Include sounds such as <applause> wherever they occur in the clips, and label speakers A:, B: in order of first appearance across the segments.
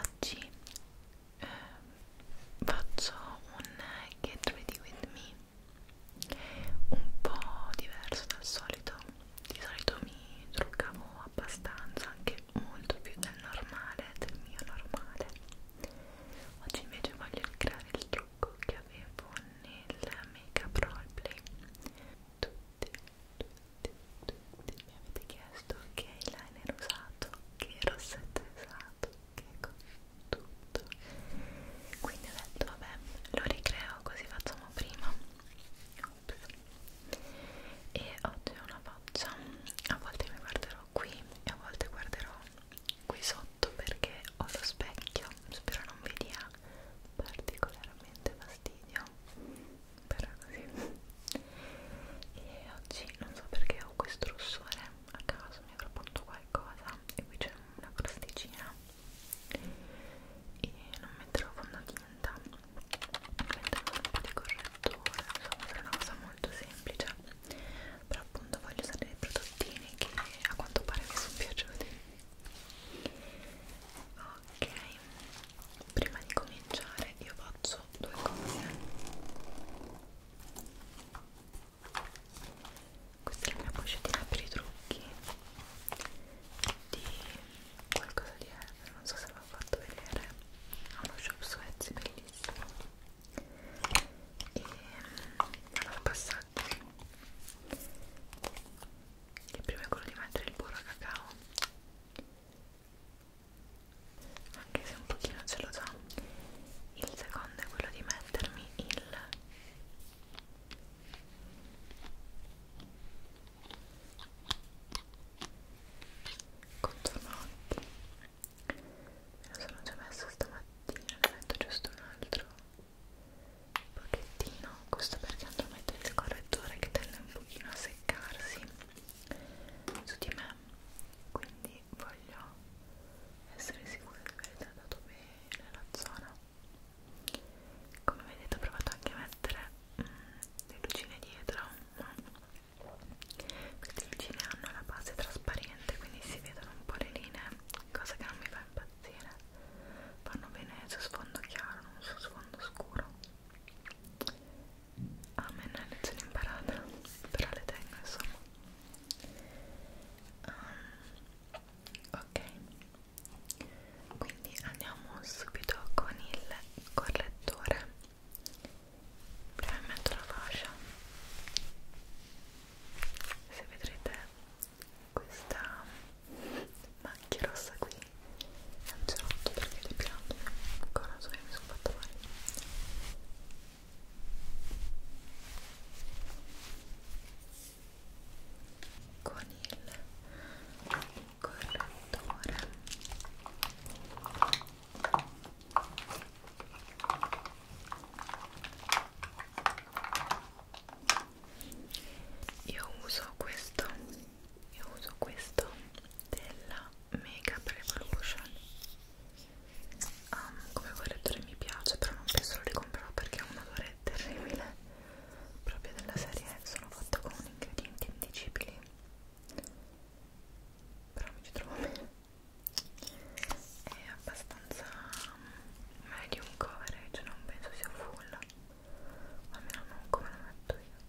A: oggi eh, faccio un get ready with me un po' diverso dal solito di solito mi truccavo abbastanza anche molto più del normale del mio normale oggi invece voglio creare il trucco che avevo nel make up roleplay tutti, tutti tutti mi avete chiesto che eyeliner usato, che rossetto usato, che tutto quindi ho detto vabbè lo ricreo così facciamo prima Oops. e oggi ho una faccia a volte mi guarderò qui e a volte guarderò qui sotto perché ho lo specchio spero non vi dia particolarmente fastidio però così e oggi non so perché ho questo rossore a caso mi avrò punto qualcosa e qui c'è una crosticina e non metterò fondotinta metterò un po' di correttore insomma sarà una cosa molto semplice però appunto voglio usare dei prodottini che a quanto pare mi sono piaciuti ok prima di cominciare io faccio preso due cose questa è la mia pochettina per i trucchi di qualcosa di Ever, non so se l'ho fatto vedere ha uno shop Suez bellissimo e allora passaggio il primo è quello di mettere il burro a cacao anche se un pochino ce lo so il secondo è quello di mettermi il contorno occhi me lo sono già messo stamattina ne metto giusto un altro pochettino questo perché andrò a mettere il correttore che tende un pochino a seccarsi su di me quindi voglio essere sicura di aver trattato bene la zona come vedete ho provato anche a mettere mm, le lucine dietro ma queste lucine hanno la base trasparente quindi si vedono un po' le linee cosa che non mi fa impazzire vanno bene su sfondo chiaro non su sfondo scuro Ah, a me non è lezione imparata però le tengo insomma um, ok quindi andiamo subito con il correttore prima metto la fascia se vedrete questa macchia rossa qui è un cerotto perché è depilato ancora so che mi sono fatta male con il correttore io uso questo io uso questo della Makeup Revolution um, ehm, come correttore mi piace però non penso lo ricomprerò perché è un odore terribile proprio della serie sono fatto con ingredienti indicibili però mi ci trovo bene è abbastanza ehm, medium coverage non penso sia full almeno non come lo metto io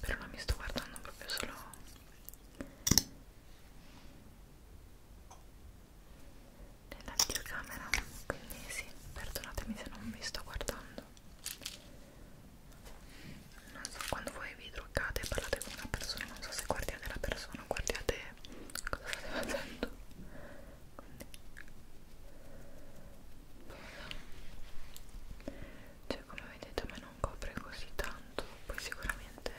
A: però non mi sto guardando proprio solo nella videocamera quindi sì, perdonatemi se non vi sto guardando non so, quando voi vi truccate e parlate con una persona non so se guardiate la persona o guardiate cosa state facendo quindi, cioè come vedete a me non copre così tanto poi sicuramente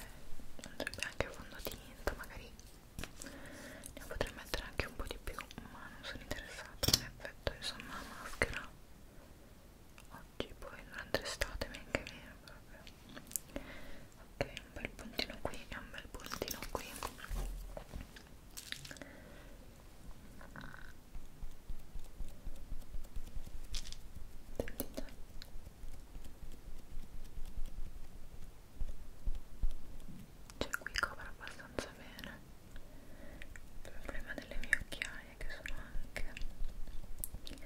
A: andrebbe anche fondotinta magari ne potrei mettere anche un po' di più ma non sono interessata in effetto insomma la maschera oggi poi durante l'estate neanche meno proprio ok un bel puntino qui e un bel puntino qui Sentite. Cioè qui copre abbastanza bene. Il problema delle mie occhiaie che sono anche... Ehm,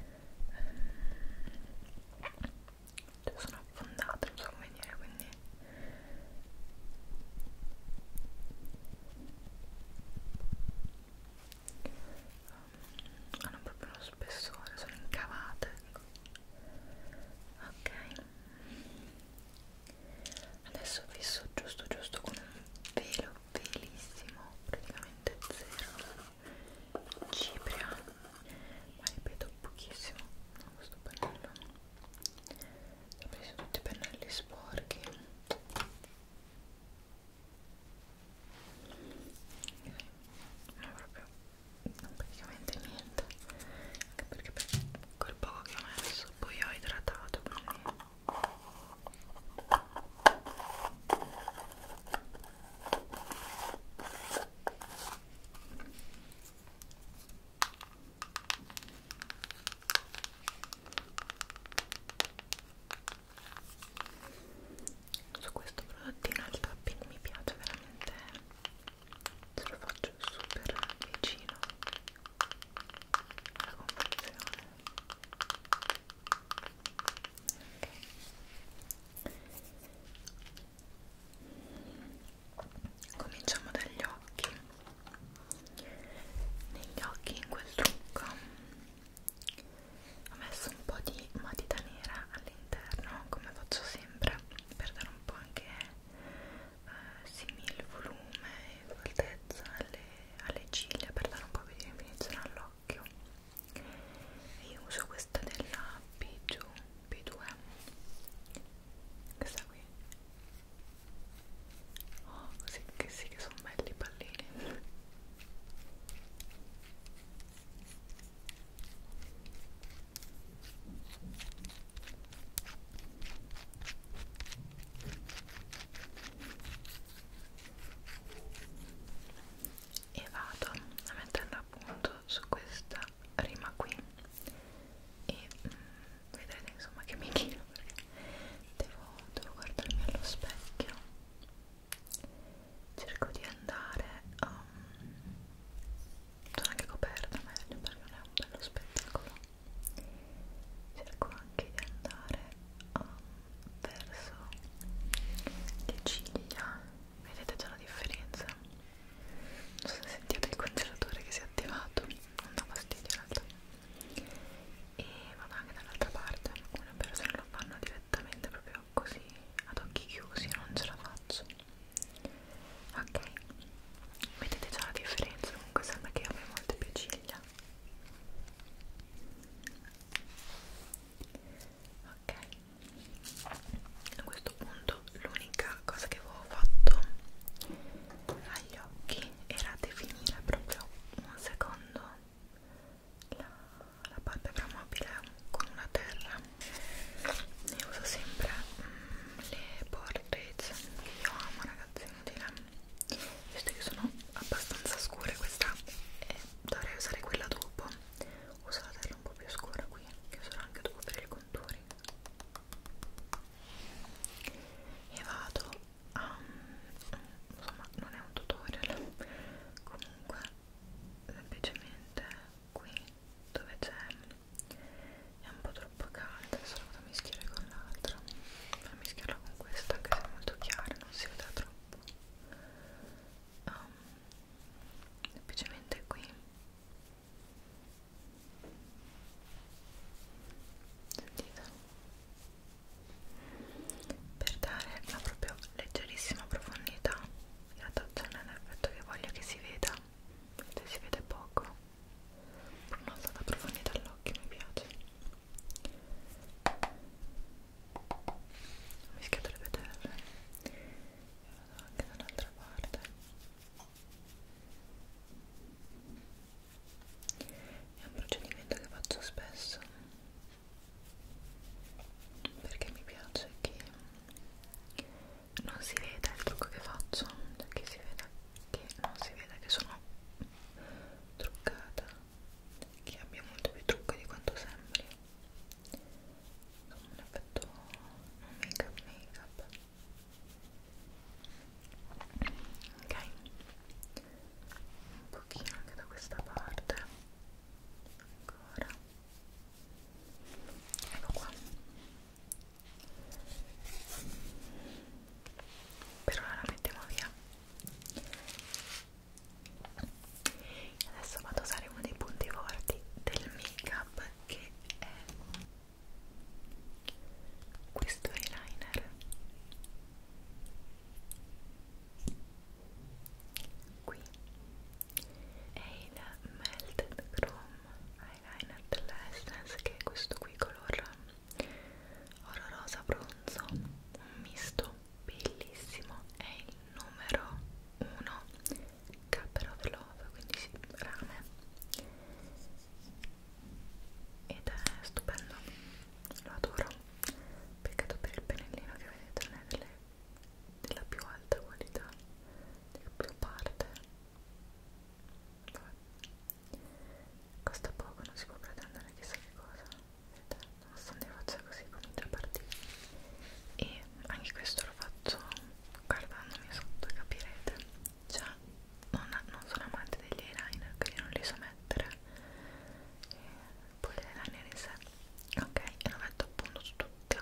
A: cioè sono affondate, non so come dire, quindi um, hanno proprio lo spessore, sono incavate ecco. ok adesso fisso giusto giusto con un velo velissimo praticamente zero cipria ma ripeto pochissimo con questo pennello ho preso tutti i pennelli sporchi non proprio non praticamente niente anche perché per quel poco che ho messo poi ho idratato quindi su questo prodottino il topping mi piace veramente se lo faccio super vicino alla confezione okay. cominciamo dagli occhi negli occhi in quel trucco ho messo un po' di matita nera all'interno come faccio sempre per dare un po' anche eh, simile volume e fortezza alle, alle ciglia per dare un po' più di definizione all'occhio e io uso questa della P2 P2 questa qui Oh, sì che sì che sono belli i pallini. E vado a metterla a punto su questa rima qui e mm, vedrete insomma che mi chiedo perché devo, devo guardarmi allo specchio cerco di andare um, sono anche coperta meglio perché non è un bello spettacolo cerco anche di andare um, verso le ciglia vedete già la differenza non so se sentite il congelatore che si è attivato non dà fastidio in realtà e vado anche dall'altra parte alcune persone lo fanno direttamente proprio così ad occhi chiusi io non ce la faccio ok vedete già la differenza comunque sembra che io abbia molte più ciglia ok a questo punto l'unica cosa che avevo fatto agli occhi era definire proprio un secondo asciugando la, la palpebra mobile con una terra io uso sempre mm, le portrait che io amo ragazzi inutile visto che sono abbastanza scure questa e dovrei usare quella dopo uso la terra un po' più scura qui che userò anche dopo per i contori e vado um, insomma non è un tutorial comunque semplicemente qui dove c'è è un po' troppo calda adesso la vado a mischiare con l'altra vado a mischiarla con questa anche se è molto chiara non si vede troppo um, semplicemente qui sentite per dare la proprio leggerissima profondità e attenzione all'effetto che voglio che si veda se si vede poco con una alta profondità all'occhio mi piace ho mischiato le peterre e lo do anche dall'altra parte è un procedimento che faccio spesso perché mi piace che non si veda il trucco che faccio cioè che, si veda, che non si veda che sono truccata che abbia molto più trucco di quanto sembri un effetto non make up make up ok un pochino anche da questa parte ancora ecco qua per ora la mettiamo via adesso vado a usare uno dei punti forti del make up che è questo eyeliner qui è il Melted Chrome Eyeliner dell'Essence che è questo qui color oro rosa bronzo un misto bellissimo è il numero 1 Cupper of Love quindi sì, rame ed è stupendo lo adoro peccato per il pennellino che vedete non è delle, della più alta qualità della più parte Vabbè. costa poco non si può pretendere chissà che cosa vedete nonostante faccia così comincia a partire e anche questo lo faccio guardandomi sotto capirete cioè non, non sono amante degli eyeliner quindi non li so mettere e poi le liner in sé ok e lo metto appunto su tutta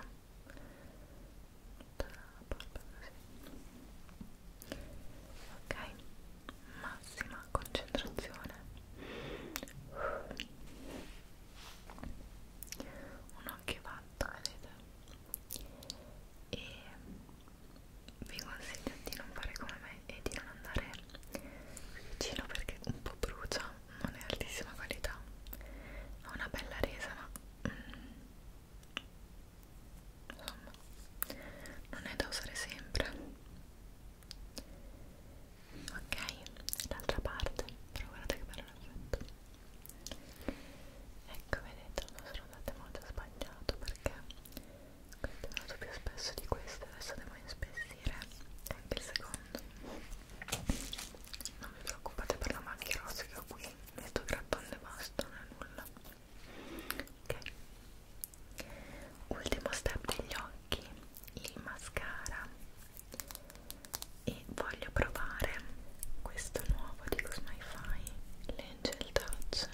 A: tutta la polpa così ok massima concentrazione un occhio fatto vedete e vi consiglio di non fare come me e di non andare vicino perché un po' brucia, non è altissima qualità, ha una bella resa ma mm, insomma non è da usare sempre. Ok, l'altra parte, però guardate che bello l'effetto. Ecco vedete, non sono andate molto sbagliato perché questo è venuto più spesso di questo adesso devo inspessire anche il secondo non vi preoccupate per la macchia rossa che ho qui metto grattone e basta non è nulla ok ultimo step degli occhi il mascara e voglio provare questo nuovo di Cosmify l'Angel Touch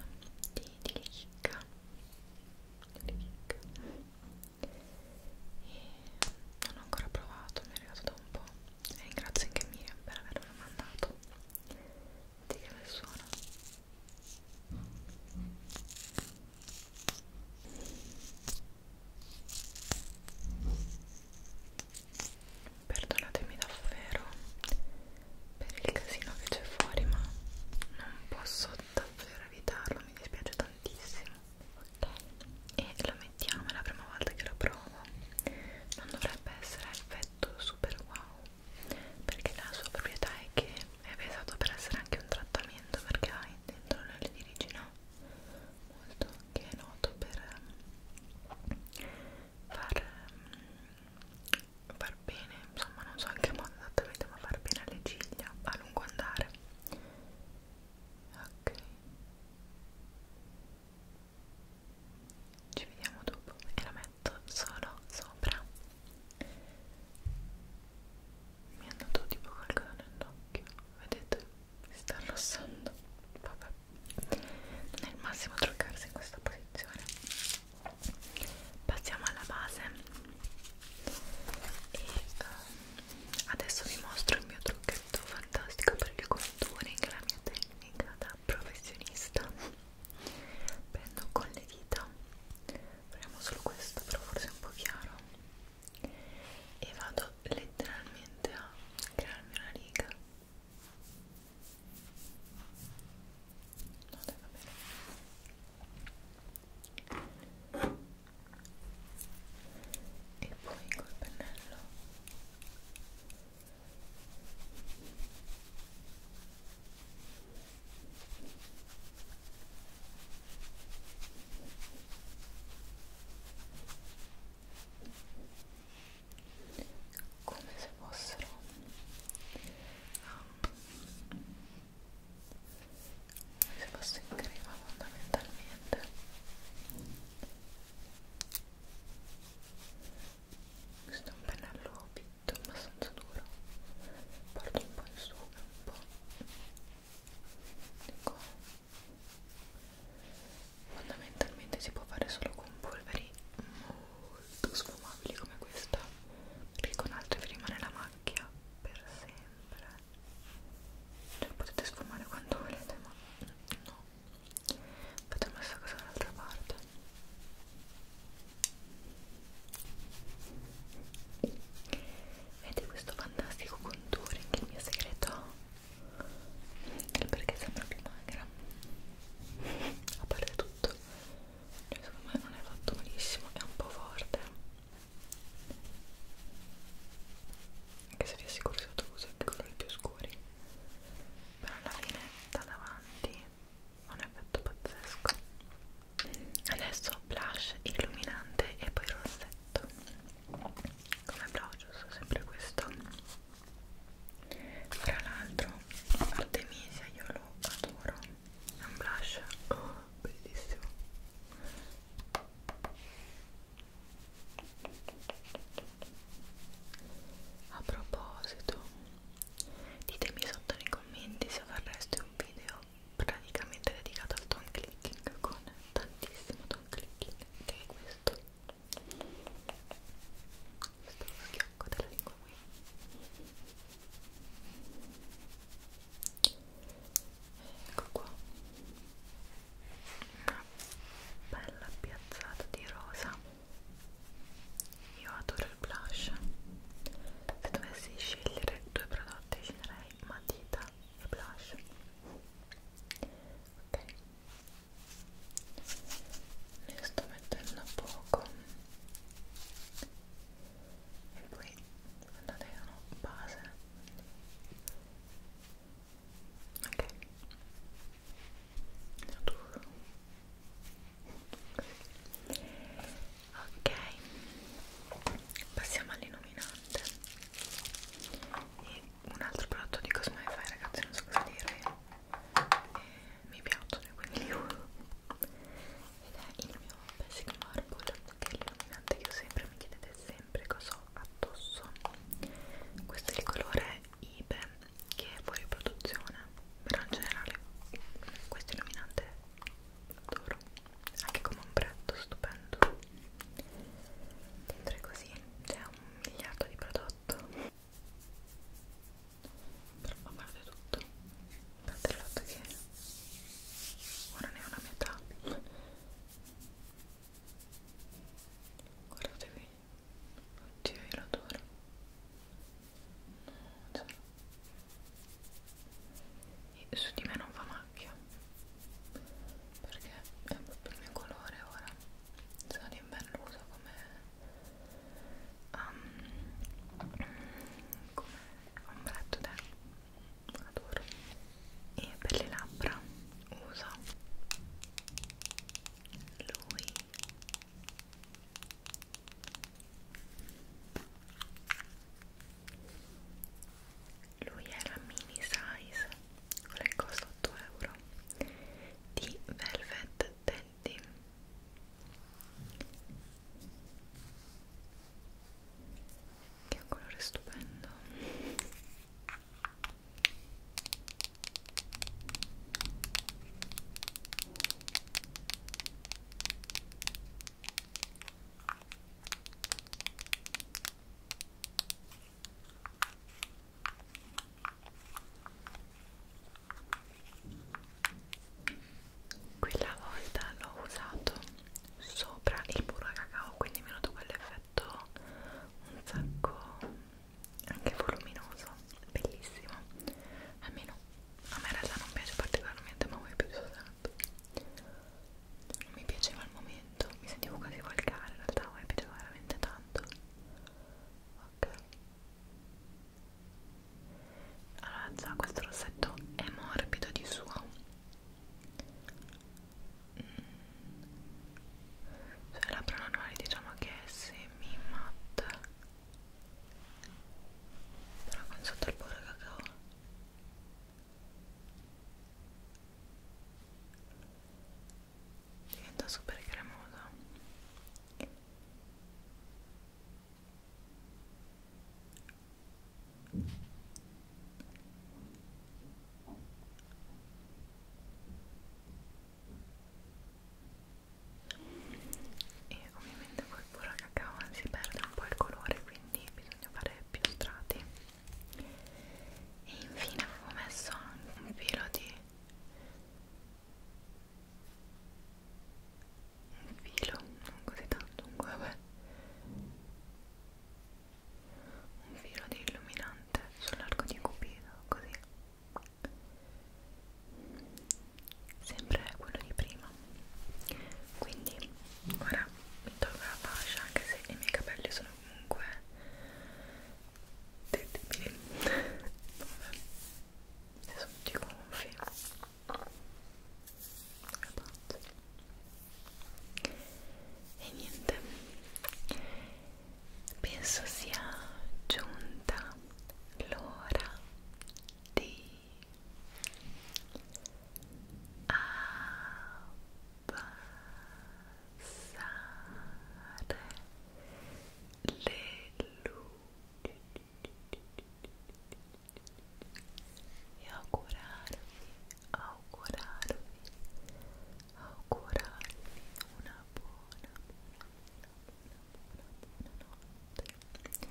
A: di, di Kika ricca ricca e non ho ancora provato mi è arrivato da un po' e ringrazio anche Miriam per averlo mandato di che bel suono perdonatemi davvero per il casino che c'è fuori ma non posso davvero evitarlo mi dispiace tantissimo ok e lo mettiamo è la prima volta che lo provo non dovrebbe essere effetto super wow perché la sua proprietà è che è pensato per essere anche un trattamento perché ha dentro l'olio di origine molto che è noto per ehm, far far bene, insomma non so in che modo esattamente ma far bene alle ciglia a lungo andare ok ci vediamo dopo e la metto solo sopra mi è andato tipo qualcosa nell'occhio vedete? si sta arrossando vabbè non è il massimo truccarsi in questa posizione passiamo alla base e um, adesso vi mostro il mio trucchetto fantastico per il contouring la mia tecnica da professionista prendo con le dita proviamo solo questo però forse è un po' chiaro e vado letteralmente a crearmi una riga No, dai, va bene. E poi col pennello come se fossero come se fosse in crema fondamentalmente questo è un pennello pitto abbastanza duro porto un po' in su e un po' di qua fondamentalmente si può fare solo con polveri molto sfumabili come questa perché con altre vi rimane la macchia per sempre cioè potete sfumare quando volete ma no fate questa cosa dall'altra parte Vedete questo fantastico contouring, il mio segreto è perché sembra più magra <laughs> a parte tutto cioè, secondo me non è fatto benissimo è un po' forte anche se vi assicuro che tu usi anche colori più scuri però la linetta davanti ha un effetto pazzesco adesso blush illuminante e poi rossetto come blush uso sempre questo tra l'altro Artemisia io lo adoro brush è un brush oh, bellissimo a proposito ditemi sotto nei commenti se vorreste un video praticamente dedicato al tone clicking con tantissimo tone clicking che è questo questo schiocco della lingua qui ecco qua una bella piazzata di rosa io adoro il blush se dovessi scegliere due prodotti sceglierei matita e blush ok ne sto metterla poco e poi guardate che sono base ok ok passiamo all'illuminante e un altro prodotto di Cosmify ragazzi non so cosa dirvi mi piacciono quindi li uso ed è il mio Basic Marble che è l'illuminante che io sempre mi chiedete sempre cosa ho addosso questo è il colore Ibe che è fuori produzione però in generale questo illuminante adoro anche come un pretto stupendo dentro è così c'è un miliardo di prodotto però a parte tutto tanto il fatto che ora ne ho la metà guardate qui oddio io l'adoro no, cioè. e su di me non fa macchia perché è proprio il mio colore ora sono d'inverno uso come um, come ombretto d'ero adoro e per le labbra uso lui lui è la mini size quella che costa 8 euro di Velvet Tell denti che è un colore stupendo quella volta l'ho usato sopra il burro a cacao quindi mi è venuto quell'effetto un sacco anche voluminoso bellissimo almeno a me in realtà non piace particolarmente ma voi piace tanto non mi piaceva al momento mi sentivo quasi volgare in realtà a voi piaceva veramente tanto ok allora già questo rossetto è morbido di suo sulle labbra normali diciamo che è semi matte però con sotto il burro cacao diventa super cremoso e ovviamente poi pura cacao si perde un po' il colore quindi bisogna fare più strati e infine avevo messo anche un filo di un filo, non così tanto, comunque vabbè un filo di illuminante sull'arco di cupido, così sempre quello di prima quindi ora mi tolgo la fascia anche se i miei capelli sono comunque terribili <laughs> vabbè sotto i gonfi e niente penso sia giunta l'ora di abbassare le luci e augurarvi, augurarvi, augurarvi una buona, buona, buona, buona, buona notte.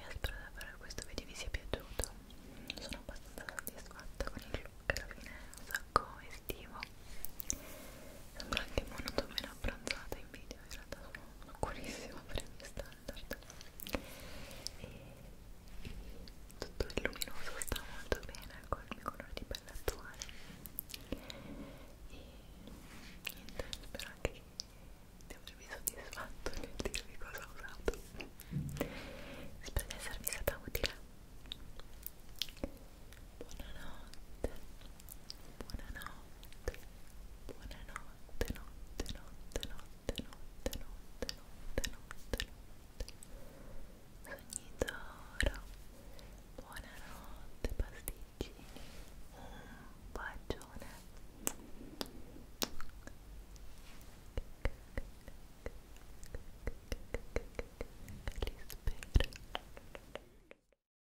A: Io spero davvero che questo video vi sia piaciuto. Sono abbastanza soddisfatta con il look, alla fine è un sacco estivo. Sembra anche monotono meno abbronzata in video in realtà sono buonissima per i miei standard e, e tutto il luminoso sta molto bene con il mio colore di pelle attuale e niente, spero anche che di avervi soddisfatto nel dirvi cosa ho usato spero di esservi stata utile buonanotte, buonanotte, buonanotte, notte, notte, notte, notte, notte, notte, notte, notte. Sogni d'oro, buonanotte, pasticcini, un bacione. Li spero.